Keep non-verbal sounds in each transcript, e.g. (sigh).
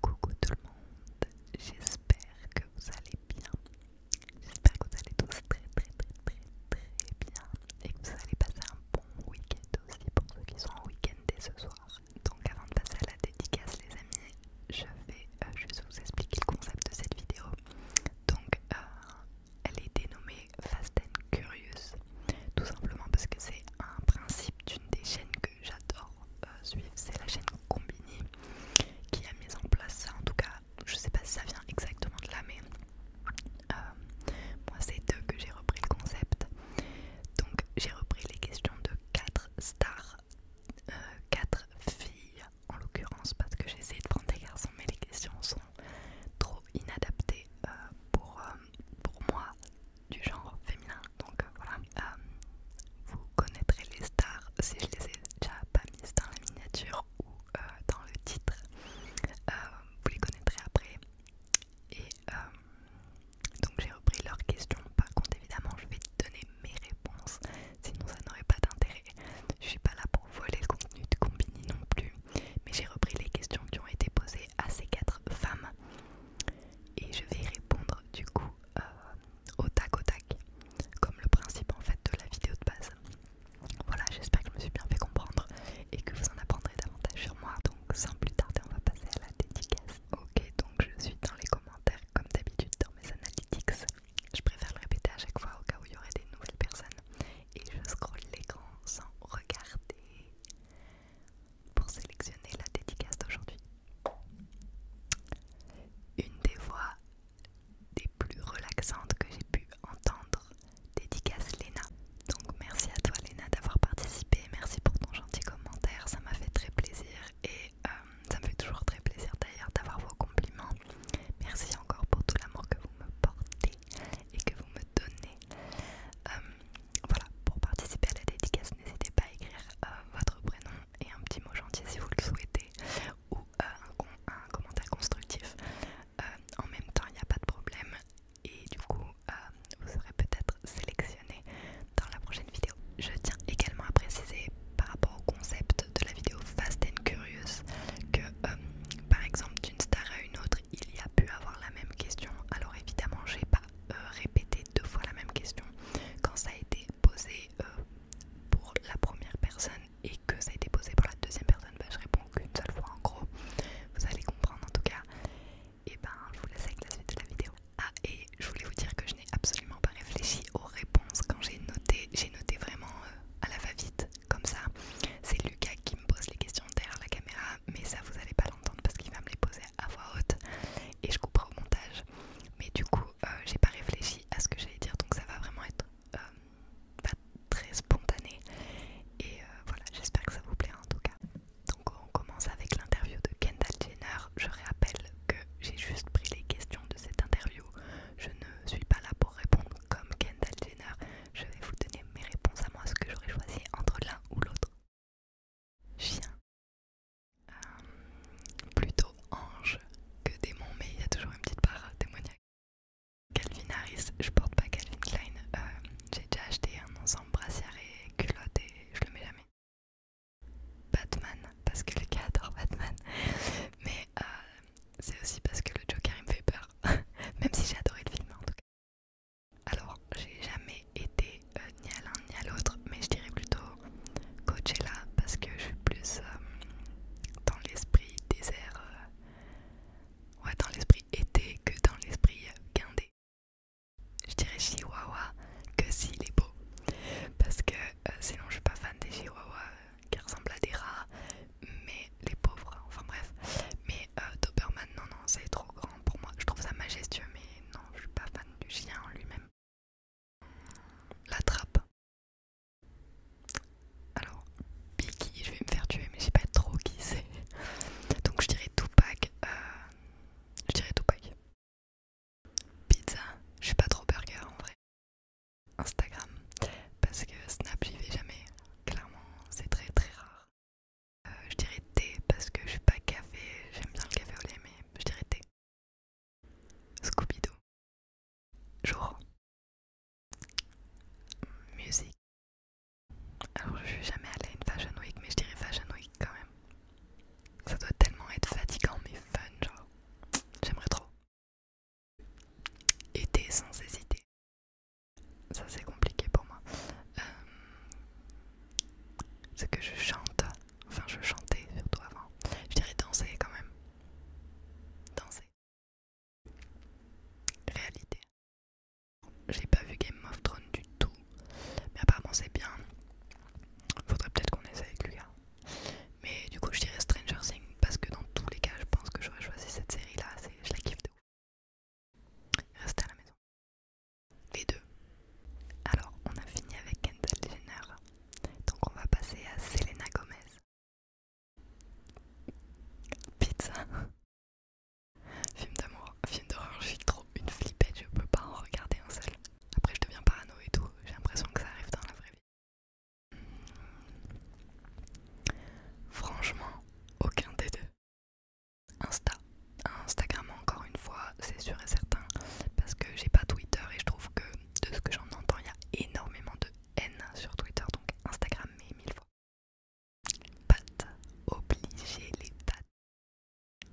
Coucou tout le monde, j'espère que vous allez bien. J'espère que vous allez tous très très très très très bien et que vous allez passer un bon week-end aussi pour ceux qui sont en week-end dès ce soir. Donc avant de passer à la dédicace les amis, je vais euh, juste vous expliquer le concept de cette vidéo. Donc euh, elle est dénommée Fast and Curious, tout simplement parce que c'est un principe d'une des chaînes que j'adore euh, suivre, c'est la chaîne Combini qui a mis en place ça. En tout cas, je sais pas si ça vient exactement de là, mais euh, moi c'est d'eux que j'ai repris le concept. Donc j'ai repris les questions de 4 stars, 4 euh, filles en l'occurrence, parce que j'ai essayé de prendre des garçons, mais les questions sont trop inadapté euh, pour, euh, pour moi du genre féminin. Donc euh, voilà, vous connaîtrez les stars si je les ai déjà pas mises dans la miniature ou dans le titre. vous les connaîtrez après. Et donc j'ai repris leurs questions. Par contre, évidemment, je vais donner mes réponses, sinon ça n'aurait pas d'intérêt. Je suis pas là pour voler le contenu de Combini non plus mais j'ai repris les questions qui ont été posées à ces quatre femmes et je vais répondre du coup euh, au tac au tac, comme le principe en fait de la vidéo de base. Voilà, j'espère que je me suis bien fait comprendre et que vous en apprendrez davantage sur moi. Donc sans plus tarder, on va passer à la dédicace. Ok, donc je suis dans les commentaires comme d'habitude dans mes analytics. Je préfère le répéter à chaque fois au cas où il y aurait des nouvelles personnes et je scrolle l'écran sans regarder pour sélectionner la dédicace d'aujourd'hui. Une des voix des plus relaxantes que j'ai pu entendre dédicace Léna. Donc merci à toi Léna d'avoir participé, merci pour ton gentil commentaire, ça m'a fait très plaisir et euh, ça me fait toujours très plaisir d'ailleurs d'avoir vos compliments. Merci encore pour tout l'amour que vous me portez et que vous me donnez. Euh, voilà, pour participer à la dédicace, n'hésitez pas à écrire euh, votre prénom et un petit mot gentil si vous le souhaitez ou euh, un, commentaire constructif. en même temps, il n'y a pas de problème et du coup, vous serez peut-être sélectionné dans la prochaine vidéo. Je tiens également à préciser par rapport au concept de la vidéo Fast and Curious que, par exemple, d'une star autre, il y a pu avoir la même question. Alors évidemment, j'ai pas euh, répété deux fois la même question quand ça a été posé euh, pour la première personne et que ça a été posé pour la deuxième personne. Bah, je réponds qu'une seule fois en gros. Vous allez comprendre en tout cas. Et ben, je vous laisse avec la suite de la vidéo. Ah et je voulais vous dire que je n'ai absolument pas réfléchi aux réponses quand j'ai noté. J'ai noté vraiment euh, à la va-vite comme ça. C'est Lucas qui me pose les questions derrière la caméra, mais ça vous allez pas l'entendre parce qu'il va me les poser à voix haute et je couperai au montage. Mais du coup, euh, j'ai pas réfléchi à ce que j'allais dire, donc ça va vraiment être euh, très spontané. Et euh, voilà, j'espère que ça vous plaira en tout cas. Donc on commence avec l'interview de Kendall Jenner. Je rappelle que j'ai juste pris les questions de cette interview. Je ne suis pas là pour répondre comme Kendall Jenner. Je vais vous donner mes réponses à moi, ce que j'aurais choisi entre l'un ou l'autre. Chien. Euh, plutôt ange que démon, mais il y a toujours une petite part démoniaque. Calvin Harris, je porte pas Calvin Klein. Euh, j'ai déjà acheté un ensemble brassière et culotte et je le mets jamais. Batman, parce que les gars adore Batman. Mais euh, c'est aussi parce que le Joker il me fait peur. (laughs) Même si j'ai adoré le film en tout cas. Alors, j'ai jamais été euh, ni à l'un ni à l'autre, mais je dirais plutôt Coachella parce que je suis plus euh, dans l'esprit désert, euh, ouais, dans l'esprit été que dans l'esprit guindé. Je dirais Chihuahua que s'il est beau, parce que sinon je suis pas fan des Chihuahuas qui ressemblent à des rats, mais les pauvres, enfin bref. Mais euh, Doberman, non, non, c'est trop grand pour moi. Je trouve ça majestueux, mais non, je suis pas fan du chien en lui-même. La trappe. Alors, Biggie, je vais me faire tuer, mais je sais pas trop qui c'est. Donc, je dirais Tupac. Euh, je dirais Tupac. Pizza, je suis pas trop burger en vrai. Instagram, parce que Snap, j'y vais jamais. Clairement, c'est très très rare. Euh, je dirais thé parce que je suis pas café, j'aime bien le café au lait, mais je dirais thé. Scooby-Doo. Jour. Musique. Alors, je suis jamais allée à une Fashion Week, mais je dirais Fashion Week quand même. Ça doit tellement être fatigant, mais fun, genre. J'aimerais trop. Été sans hésiter ça c'est compliqué pour moi. Euh, ce c'est que je chante, enfin je chantais surtout avant. Je dirais danser quand même. Danser. Réalité. J'ai pas vu Game of Thrones du tout, mais apparemment c'est bien. Faudrait peut-être qu'on essaie avec Lucas. Mais du coup je dirais Stranger Things parce que dans tous les cas je pense que j'aurais choisi cette série là. Je la kiffe de Reste à la maison. Les deux. Alors, on a fini avec Kendall Jenner. Donc, on va passer à Selena Gomez. Pizza. Film d'amour, film d'horreur, j'ai trop une flippette, je peux pas en regarder un seul. Après, je deviens parano et tout, j'ai l'impression que ça arrive dans la vraie vie. Franchement, aucun des deux. Insta. Instagram encore une fois, c'est sûr et certain, parce que j'ai pas Twitter et je trouve que de ce que j'en entends, il y a énormément de haine sur Twitter, donc Instagram mais mille fois. Pâtes, obliger les pâtes.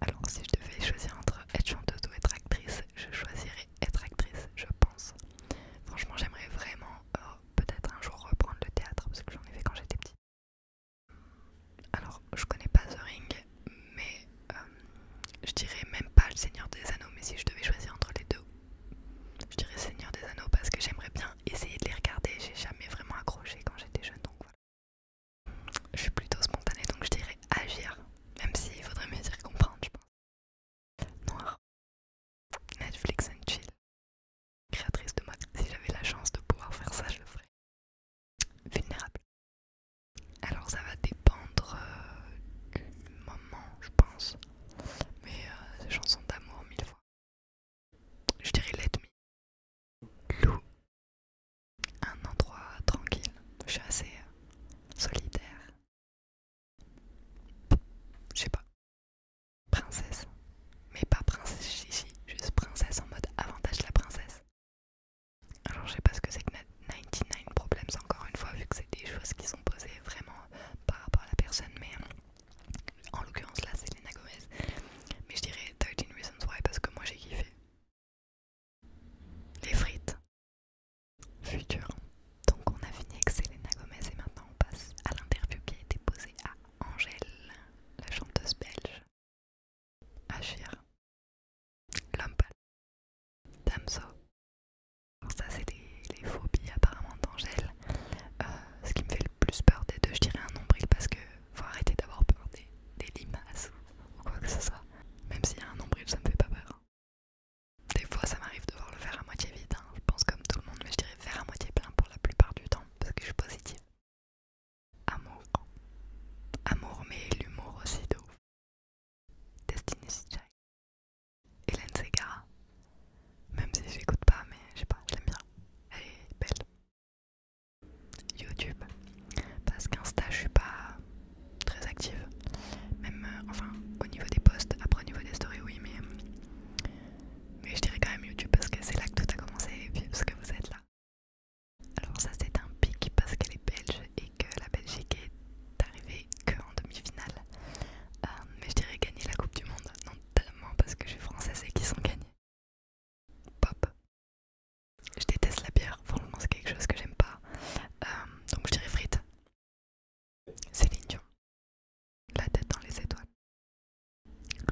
Alors si je devais choisir entre être chanteuse ou être actrice, je choisirais être actrice, je pense. Franchement, j'aimerais vraiment euh, peut-être un jour reprendre le théâtre, parce que j'en ai fait quand j'étais petite. Alors, je connais pas The Ring, mais euh, je dirais même pas Le Seigneur des Anneaux, mais si je devais choisir entre les deux, je dirais Seigneur des Anneaux parce que j'aimerais bien essayer de les regarder. J'ai jamais vraiment accroché quand j'étais jeune, donc voilà. Je suis plutôt spontanée, donc je dirais Agir, même s'il faudrait mieux dire comprendre, je pense. Noir. Netflix and chill créatrice de mode. Si j'avais la chance de pouvoir faire ça, je le ferais. Vulnérable. Alors ça va dépendre euh, du moment, je pense. Mais euh, c'est chanson d'amour mille fois. Je dirais l'ennemi. Me. Lou. Un endroit tranquille. Je suis assez euh, solitaire. Je sais pas princesse. Mais pas princesse chichi, juste princesse en mode avantage la princesse. Alors je sais pas ce que c'est que 99 Problems encore une fois vu que c'est des choses qui sont posées vraiment par rapport à la personne mais en l'occurrence là c'est Lena Gomez mais je dirais 13 Reasons Why parce que moi j'ai kiffé. Les frites. Futur. Donc on a fini avec Selena Gomez et maintenant on passe à l'interview qui a été posée à Angèle, la chanteuse belge, Achir, Lampa, Damso. ça c'est les, phobies apparemment d'Angèle. Euh, ce qui me fait le plus peur des deux, je dirais un nombril parce que faut arrêter d'avoir peur des, limaces ou, quoi que ce soit. Même s'il y a un nombril, ça me fait pas peur. Des fois ça m'arrive de le faire à moitié vide, hein. je pense comme tout le monde, mais je dirais faire à moitié plein pour la plupart du temps parce que je suis positive. Amour. Amour, mais l'humour aussi de ouf. Destiny's Child. Hélène Segara. Même si je n'écoute pas, mais je sais pas, je l'aime bien. Elle est belle. YouTube. Parce qu'Insta, je suis pas très active. Même, euh, enfin, au niveau des posts. Après, au niveau des stories, oui, mais. Euh, mais je dirais quand même YouTube parce que c'est là que tout a commencé et puis parce que vous êtes là. Alors ça c'est un pic parce qu'elle est belge et que la Belgique est arrivée en demi-finale. Euh, mais je dirais gagner la Coupe du Monde, non tellement parce que je suis française et qu'ils sont gagnés. Pop. Je déteste la bière, franchement c'est quelque chose que j'aime pas. Euh, donc je dirais frites. c'est Dion la tête dans les étoiles.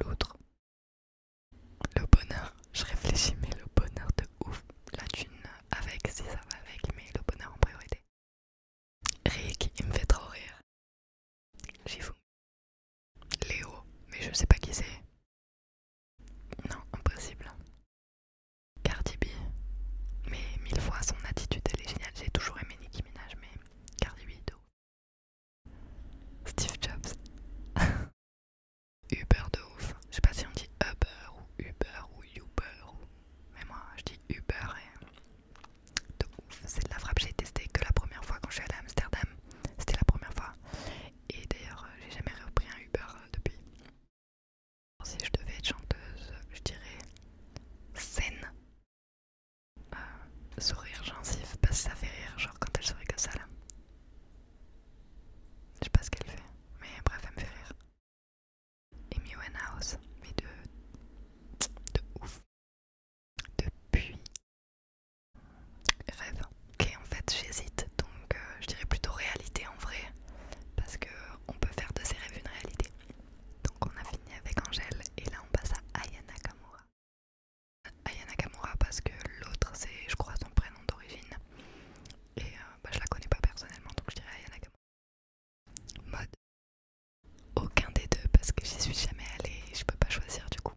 L'autre, le bonheur, je réfléchis, mais le bonheur de ouf, la thune avec, si ça va avec, mais le bonheur en priorité. Rick, il me fait trop rire. J'y fous. Léo, mais je sais pas qui c'est. Non, impossible. Cardi B, mais mille fois son attitude elle est géniale. J'ai toujours aimé Nicki Minaj, mais Cardi B de Steve Jobs. (laughs) Uber de ouf. Je sais pas si on dit Uber ou Uber ou Uber Mais moi je dis Uber et... De ouf. C'est de la frappe. J'ai testé que la première fois quand je suis allée à Amsterdam. C'était la première fois. Et d'ailleurs euh, j'ai jamais repris un Uber euh, depuis. Si je devais être chanteuse, je dirais scène euh, sourire gencive parce que ça fait rire, genre quand elle sourit que ça là. Je sais pas ce qu'elle fait, mais bref, elle me fait rire. Amy House, mais de. de ouf. Depuis. Rêve. Ok, en fait, j'hésite, donc euh, je dirais plutôt réalité en vrai, parce que on peut faire de ses rêves une réalité. Donc on a fini avec Angèle, et là on passe à Aya Nakamura. Ayana ah, Kamura parce que l'autre c'est je crois son prénom d'origine et euh, bah, je la connais pas personnellement donc je dirais Ayana Kamura. Mode aucun des deux parce que j'y suis jamais allée je peux pas choisir du coup.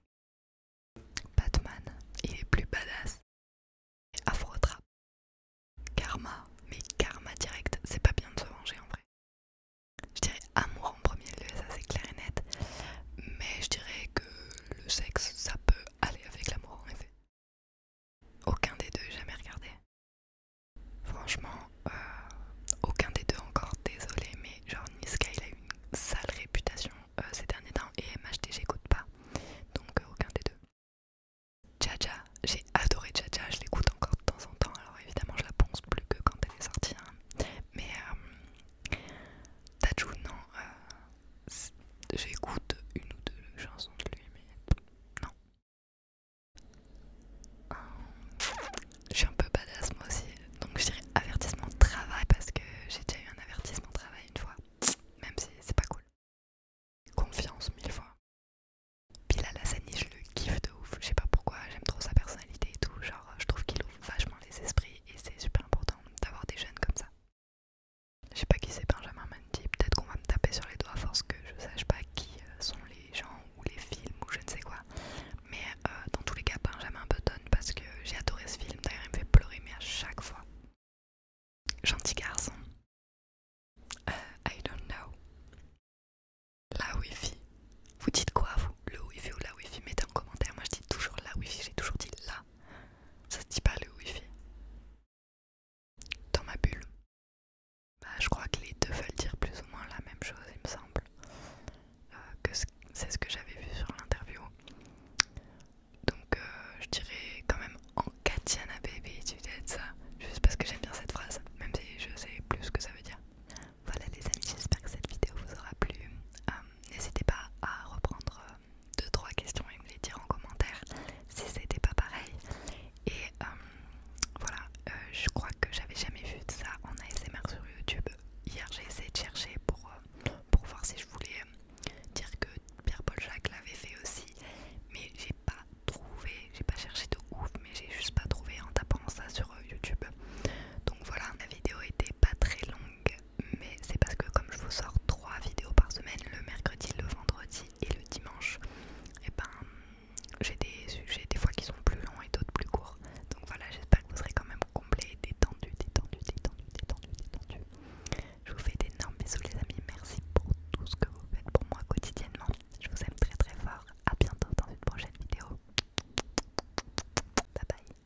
Batman, il est plus badass. Afrotrap. Karma, mais karma direct, c'est pas bien de se venger en vrai. Je dirais amour en premier lieu, ça c'est clair et net. Mais je dirais que le sexe, ça peut aller avec l'amour en effet. Aucun des deux, jamais regardé. Franchement, euh, aucun des deux encore, désolé, mais genre Niska il a une sale réputation euh, ces derniers temps et MHD j'écoute pas, donc euh, aucun des deux. Jaja, j'ai adoré Jaja, je l'écoute encore de temps en temps, alors évidemment je la pense plus que quand elle est sortie, hein. mais Tajou, non, euh, j'écoute une ou deux chansons de lui, mais non. Euh, je suis un peu badass moi aussi, donc je dirais avertissement travail parce que j'ai déjà eu un avertissement travail une fois, même si c'est pas cool. Confiance mille fois. Puis là, la scène je le kiffe de ouf, je sais pas pourquoi, j'aime trop sa personnalité et tout, genre je trouve qu'il ouvre vachement les esprits, et, c'est super important d'avoir des jeunes comme ça. Je sais pas qui c'est Benjamin Mandy, peut-être qu'on va me taper sur les doigts parce force que je sache pas qui euh, sont les gens ou les films ou je ne sais quoi. Mais euh, dans tous les cas, Benjamin Button parce que j'ai adoré ce film, d'ailleurs il me fait pleurer mais à chaque fois. Gentil garçon. Euh, I don't know. La wifi. Vous dites quoi vous le wifi ou la wifi mettez en commentaire moi je dis toujours la wifi j'ai toujours dit là. ça se dit pas le wifi dans ma bulle bah, je crois que les deux veulent dire plus ou moins la même chose il me semble euh, que c'est ce que j'avais vu sur l'interview donc euh, je dirais quand même en à baby tu de ça juste parce que j'aime bien cette phrase même si je sais plus ce que ça veut dire voilà les amis j'espère que cette vidéo vous aura plu euh, n'hésitez pas à reprendre 2-3 euh, questions et me les dire en commentaire si c'était pas pareil. Et euh, voilà, euh, je crois que j'avais jamais vu de ça en ASMR sur YouTube. Hier j'ai essayé de chercher pour, pour voir si je voulais dire que Pierre-Paul Jacques l'avait fait aussi, mais j'ai pas trouvé, j'ai pas cherché de ouf, mais j'ai juste pas trouvé en tapant ça sur YouTube. Donc voilà, la vidéo était pas très longue, mais c'est parce que comme je vous sors trois vidéos par semaine, le mercredi, le vendredi et le dimanche, et eh ben j'ai des sujets des fois qui sont plus longs et d'autres plus courts. Donc voilà, j'espère que vous serez quand même complet, détendu, détendu, détendu, détendu, détendu. Je vous fais d'énormes bisous les amis, merci pour tout ce que vous faites pour moi quotidiennement. Je vous aime très très fort. À bientôt dans une prochaine vidéo. Bye bye.